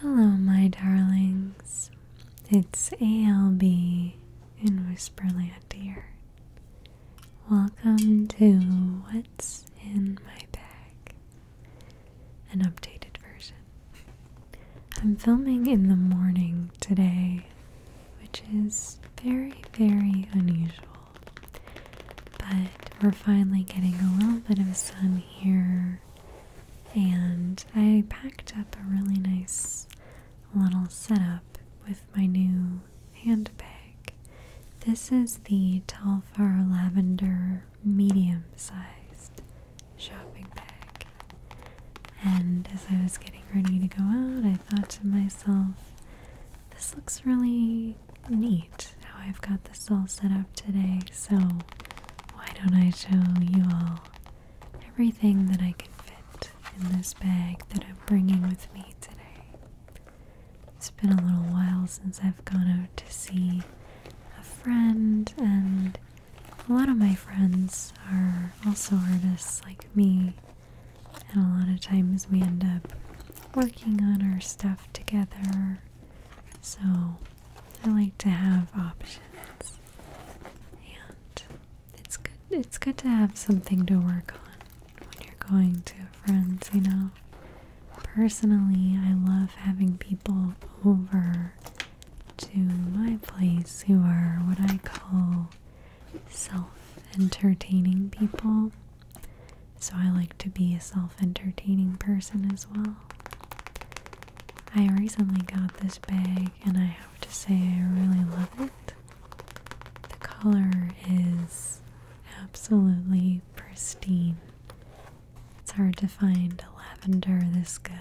Hello, my darlings. It's ALB in Whisperland here. Welcome to What's in My Bag, an updated version. I'm filming in the morning today, which is very, very unusual. But we're finally getting a little bit of sun here and I packed up a really nice little setup with my new handbag. This is the Telfar Lavender medium sized shopping bag. And as I was getting ready to go out, I thought to myself, this looks really neat how I've got this all set up today, so why don't I show you all everything that I can fit in this bag that I'm bringing with me today? It's been a little while since I've gone out to see a friend, and a lot of my friends are also artists like me, and a lot of times we end up working on our stuff together. So I like to have options, and it's good. It's good to have something to work on when you're going to friends. You know, personally, I love having people over to my place who are what I call self-entertaining people. So I like to be a self-entertaining person as well. I recently got this bag and I have to say I really love it. The color is absolutely pristine. It's hard to find a lavender this good.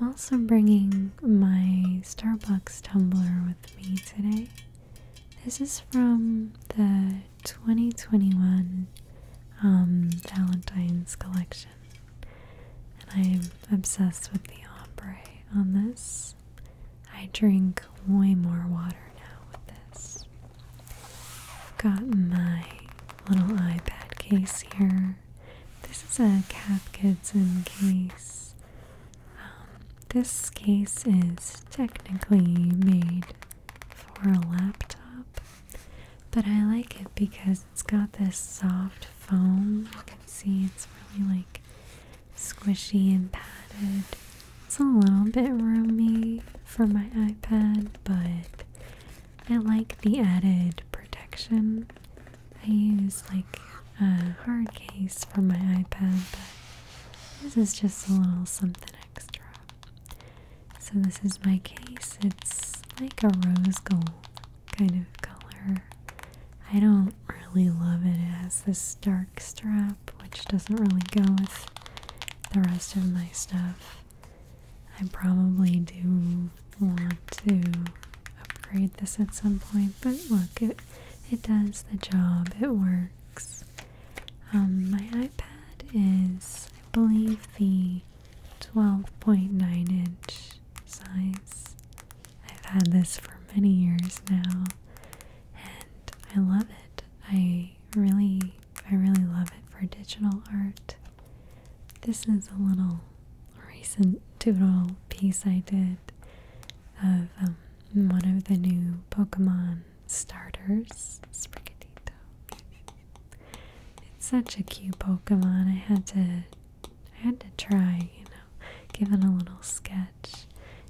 I'm also bringing my Starbucks tumbler with me today. This is from the 2021 um, Valentine's collection. And I'm obsessed with the ombre on this. I drink way more water now with this. Got my little iPad case here. This is a Cap Kidson case. Um, this case is technically made for a laptop, but I like it because it's got this soft foam. You can see it's really like squishy and padded. It's a little bit roomy for my iPad, but I like the added protection. I use like a hard case for my iPad, but this is just a little something extra. So this is my case. It's like a rose gold kind of color. I don't really love it. It has this dark strap which doesn't really go with the rest of my stuff. I probably do want to upgrade this at some point, but look, it it does the job. It works. Um, my iPad is I believe the 12.9 inch size. I've had this for many years now and I love it. I really I really love it for digital art. This is a little recent doodle piece I did of um, one of the new Pokemon starters, Sprigatito. It's such a cute Pokemon. I had to I had to try, you know, give it a little sketch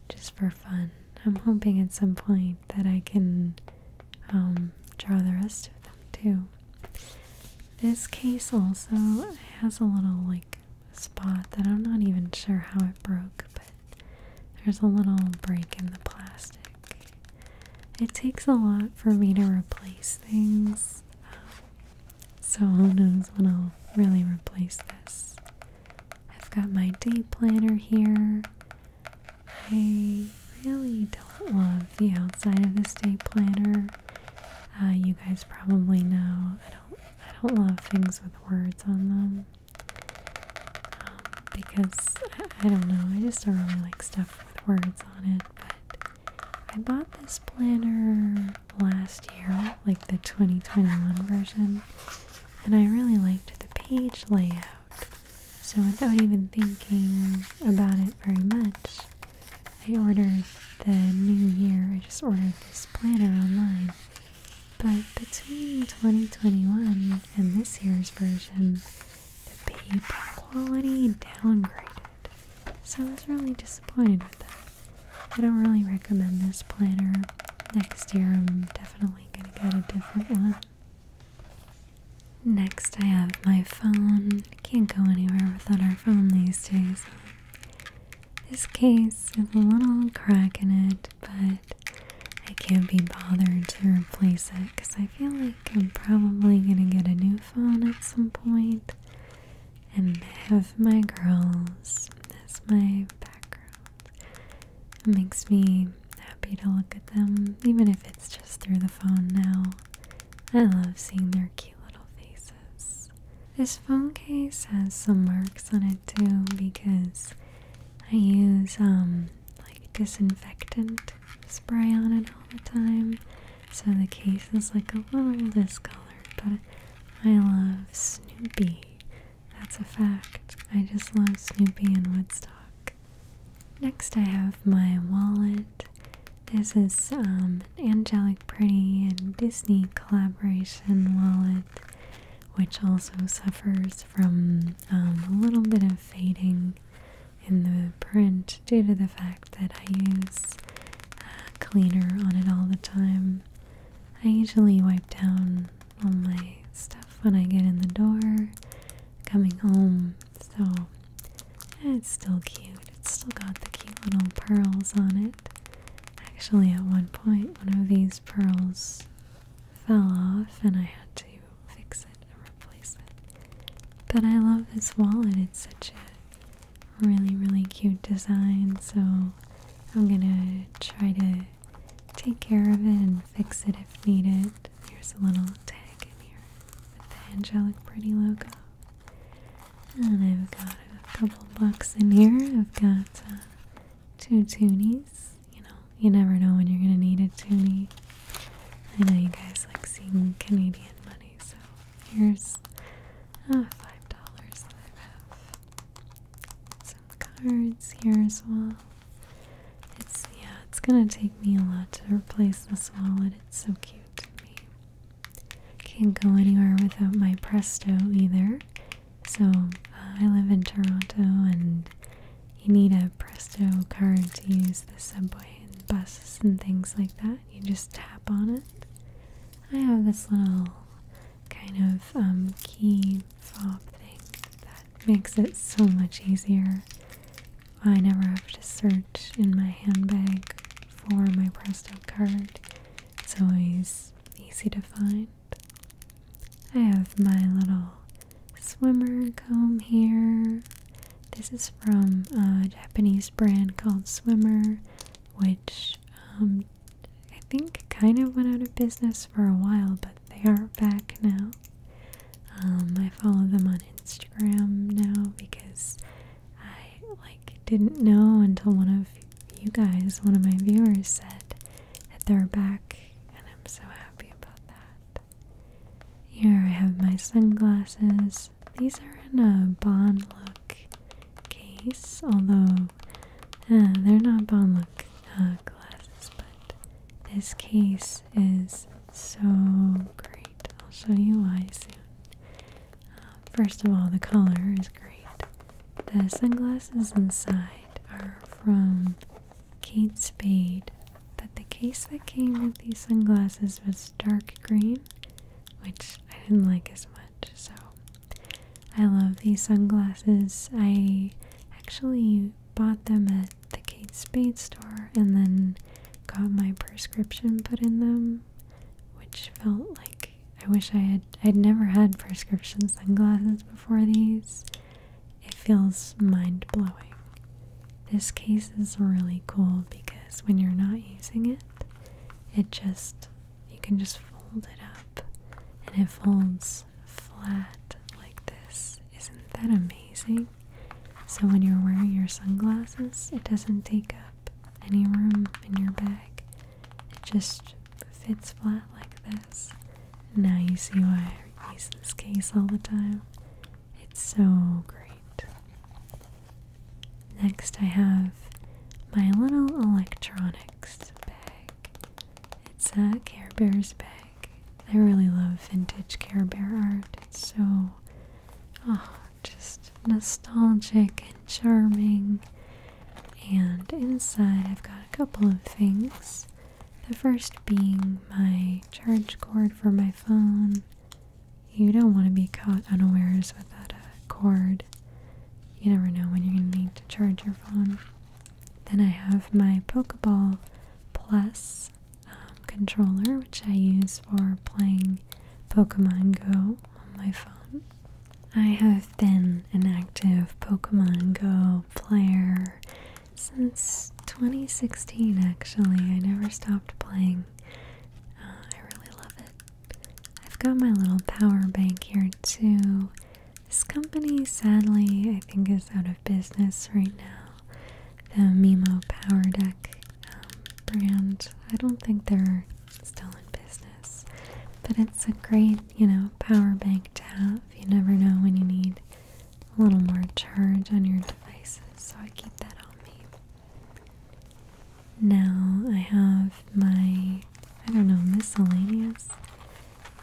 just for fun. I'm hoping at some point that I can um, draw the rest of them too. This case also has a little like spot that I'm not even sure how it broke, but there's a little break in the plastic. It takes a lot for me to replace things, so who knows when I'll really replace this. I've got my day planner here. I really don't love the outside of this day planner. Uh, you guys probably know I don't I don't love things with words on them because I don't know, I just don't really like stuff with words on it. But I bought this planner last year, like the 2021 version, and I really liked the page layout. So without even thinking about it very much, I ordered the new year. I just ordered this planner online. But between 2021 and this year's version, the paper quality downgraded. So I was really disappointed with that. I don't really recommend this planner. Next year I'm definitely gonna get a different one. Next I have my phone. Can't go anywhere without our phone these days. This case has a little crack in it, but I can't be bothered to replace it because I feel like I'm probably going to get a new phone at some point and have my girls as my background. It makes me happy to look at them, even if it's just through the phone now. I love seeing their cute little faces. This phone case has some marks on it too because I use um disinfectant spray on it all the time. So the case is like a little discolored, but I love Snoopy. That's a fact. I just love Snoopy and Woodstock. Next, I have my wallet. This is um, Angelic Pretty and Disney collaboration wallet which also suffers from um, a little bit of fading in the print due to the fact that I use uh, cleaner on it all the time. I usually wipe down all my stuff when I get in the door coming home, so it's still cute. It's still got the cute little pearls on it. Actually, at one point, one of these pearls fell off, and I had to fix it and replace it. But I love this wallet, it's such a really, really cute design, so I'm gonna try to take care of it and fix it if needed. There's a little tag in here with the angelic pretty logo. And I've got a couple bucks in here. I've got uh, two toonies you know, you never know when you're gonna need it to I know you guys like seeing Canadian money, so here's uh, five dollars that I have. Some cards here as well. It's yeah, it's gonna take me a lot to replace this wallet. It's so cute to me. Can't go anywhere without my Presto either. So uh, I live in Toronto and you need a Presto card to use the subway and buses and things like that. You just tap on it. I have this little kind of um, key fob thing that makes it so much easier. I never have to search in my handbag for my Presto card. It's always easy to find. I have my little swimmer comb here. This is from a Japanese brand called Swimmer, which um, I think kind of went out of business for a while, but they are back now. Um, I follow them on Instagram now because I like didn't know until one of you guys, one of my viewers said at their back, and I'm so happy about that. Here I have my sunglasses. These are in a Bond look case, although uh, they're not Bond look uh, glasses, but this case is so great. I'll show you why soon. Um, first of all, the color is great. The sunglasses inside are from Kate Spade that the case that came with these sunglasses was dark green, which I didn't like as much. So I love these sunglasses. I actually bought them at the Kate Spade store and then got my prescription put in them, which felt like I wish I had I'd never had prescription sunglasses before these. It feels mind blowing. This case is really cool because when you're not using it, it just, you can just fold it up and it folds flat like this. Isn't that amazing? So when you're wearing your sunglasses, it doesn't take up any room in your bag. It just fits flat like this. Now you see why I use this case all the time. It's so great. Next, I have my little electronics bag. It's a Care Bears bag. I really love vintage Care Bear art. It's so, oh, just nostalgic and charming. And inside, I've got a couple of things. The first being my charge cord for my phone. You don't want to be caught unawares without a uh, cord. You never know when you're going to need to charge your phone. Then I have my Pokeball Plus um, controller, which I use for playing Pokemon Go on my phone. I have been an active Pokemon Go player since 2016, actually. I never stopped playing. Uh, I really love it. I've got my little power bank here, too. This company, sadly, I think is out of business right now. The Mimo Power Deck um, brand. I don't think they're still in business, but it's a great, you know, power bank to have. You never know when you need a little more charge on your devices, so I keep that on me. Now I have my, I don't know, miscellaneous.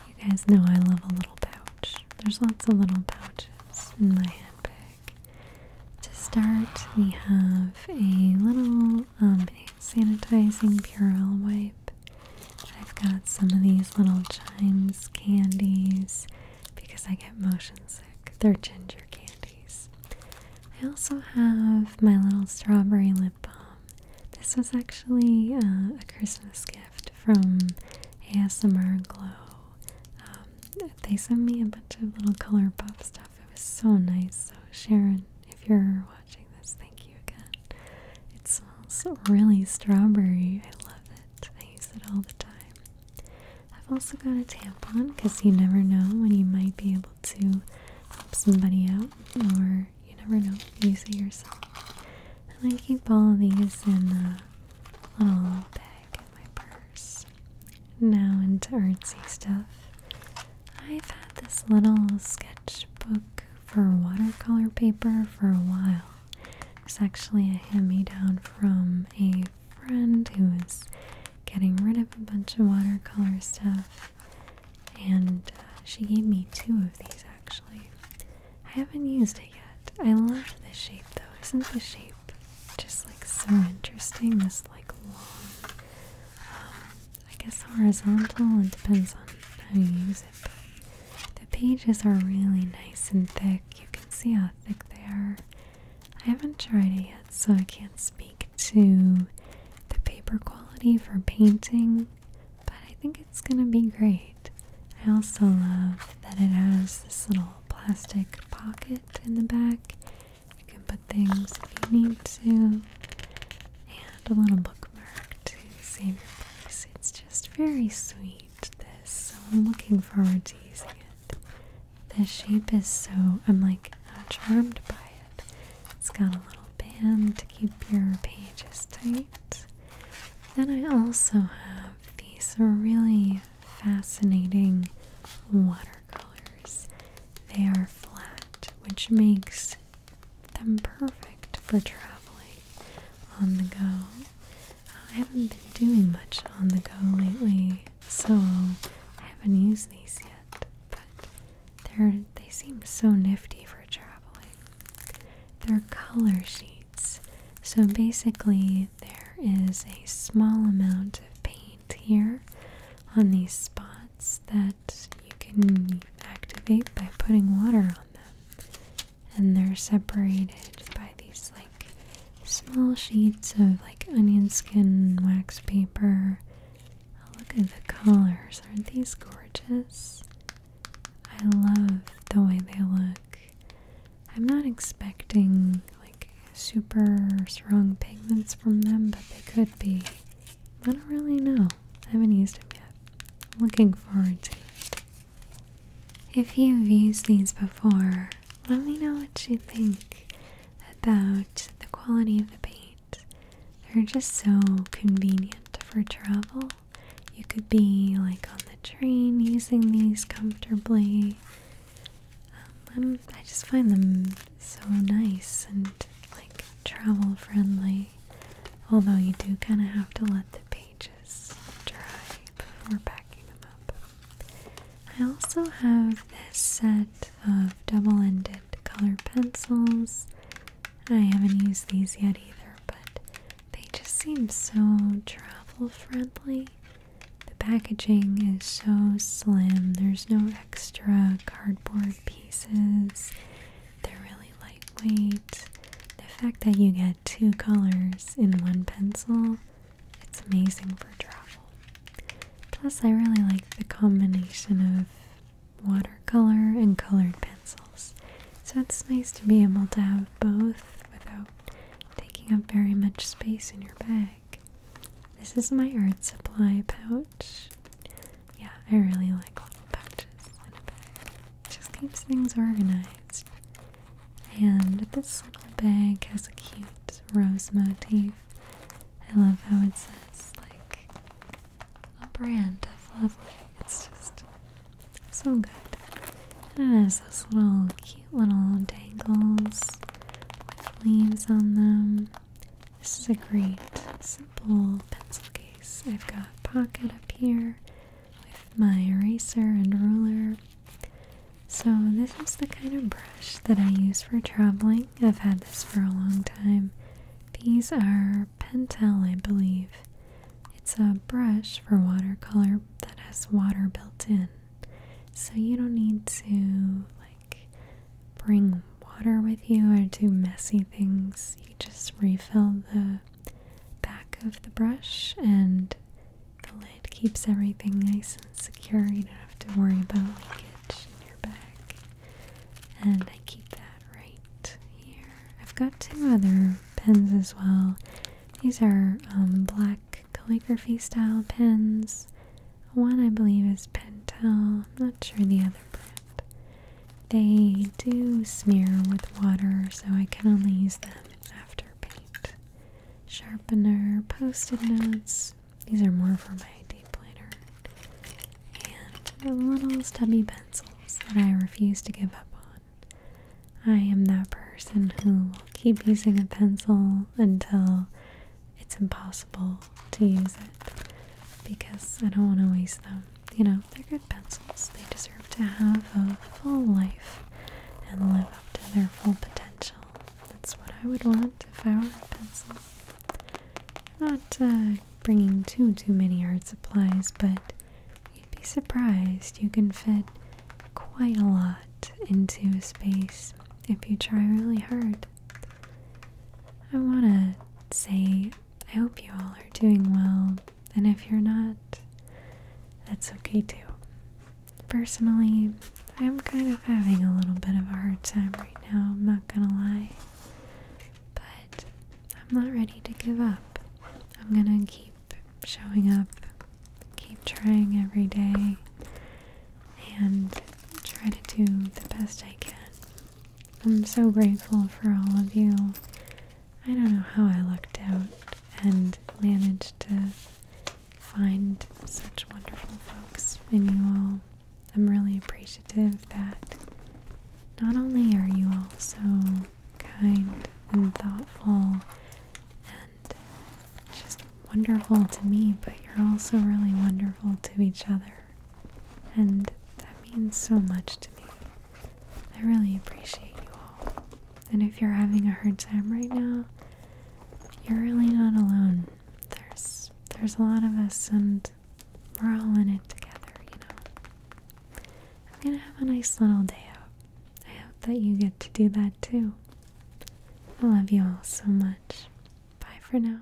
You guys know I love a little pouch. There's lots of little pouches in my handbag. To start, we have a little um, sanitizing Purell wipe. I've got some of these little chimes candies because I get motion sick. They're ginger candies. I also have my little strawberry lip balm. This was actually uh, a Christmas gift from ASMR Glow. Um, they sent me a bunch of little color pop stuff. It was so nice. So Sharon, if you're Thank you again. It smells really strawberry. I love it. I use it all the time. I've also got a tampon because you never know when you might be able to help somebody out, or you never know. you it yourself. And I keep all of these in a little bag in my purse. Now into artsy stuff. I've had this little sketch Book for watercolor paper for a while. It's actually a hand-me-down from a friend who was getting rid of a bunch of watercolor stuff, and uh, she gave me two of these actually. I haven't used it yet. I love the shape though. Isn't the shape just like so interesting? This like long um, I guess horizontal, it depends on how you use it, but the pages are really nice and thick. You can see how thick they are. I haven't tried it yet, so I can't speak to the paper quality for painting, but I think it's gonna be great. I also love that it has this little plastic pocket in the back. You can put things if you need to a little bookmark to save your place. It's just very sweet, this. So I'm looking forward to using it. The shape is so, I'm like uh, charmed by it. It's got a little band to keep your pages tight. Then I also have these really fascinating watercolors. They are flat, which makes them perfect for traveling on the go. I haven't been doing much on the go lately, so I haven't used these yet, but they're, they seem so nifty for traveling. They're color sheets, so basically there is a small amount of paint here on these spots that you can activate by putting water on them. And they're separated by these like small sheets of like onion skin wax paper. Oh, look at the colors. Aren't these gorgeous? I love the way they look. I'm not expecting like super strong pigments from them, but they could be. I don't really know. I haven't used them yet. I'm looking forward to it. If you've used these before, let me know what you think about the quality of the paint. They're just so convenient for travel. You could be like on the train using these comfortably. Um, I just find them so nice and like travel friendly. Although you do kind of have to let the pages dry before packing them up. I also have this set of double-ended color pencils. I haven't used these yet either, but they just seem so travel friendly. The packaging is so slim, there's no extra cardboard pieces. They're really lightweight. The fact that you get two colors in one pencil, it's amazing for travel. Plus, I really like the combination of watercolor and colored pencils. So it's nice to be able to have both without taking up very much space in your bag. This is my art supply pouch. Yeah, I really like little bags. in a bag. just keeps things organized. And this little bag has a cute rose motif. I love how it says like a brand of lovely. It's just so good. And it has those little cute little dangles with leaves on them. This is a great simple pencil case. I've got pocket up here with my eraser and ruler. So this is the kind of brush that I use for traveling. I've had this for a long time. These are Pentel, I believe. It's a brush for watercolor that has water built in. So you don't need to like bring water with you or do messy things, you just refill the back of the brush and the lid keeps everything nice and secure. You don't have to worry about leakage in your bag. And I keep that right here. I've got two other pens as well. These are um, black calligraphy style pens. One I believe is Pentel. I'm not sure the other brand. They do smear with water, so I can only use them after paint. Sharpener, post-it notes. These are more for my day planner. And the little stubby pencils that I refuse to give up on. I am that person who will keep using a pencil until it's impossible to use it because I don't want to waste them you know, they're good pencils. They deserve to have a full life and live up to their full potential. That's what I would want if I were a pencil. Not uh, bringing too, too many art supplies, but you'd be surprised. You can fit quite a lot into a space if you try really hard. I want to say I hope you all are doing well, and if you're not, that's okay too. Personally, I'm kind of having a little bit of a hard time right now, I'm not gonna lie. But I'm not ready to give up. I'm gonna keep showing up, keep trying every day, and try to do the best I can. I'm so grateful for all of you. I don't know how I lucked out and managed to find such wonderful folks and you all. I'm really appreciative that not only are you all so kind and thoughtful and just wonderful to me, but you're also really wonderful to each other. And that means so much to me. I really appreciate you all. And if you're having a hard time right now, you're really not alone. There's there's a lot of us and we're all in it together, you know. I'm gonna have a nice little day out. I hope that you get to do that too. I love you all so much. Bye for now.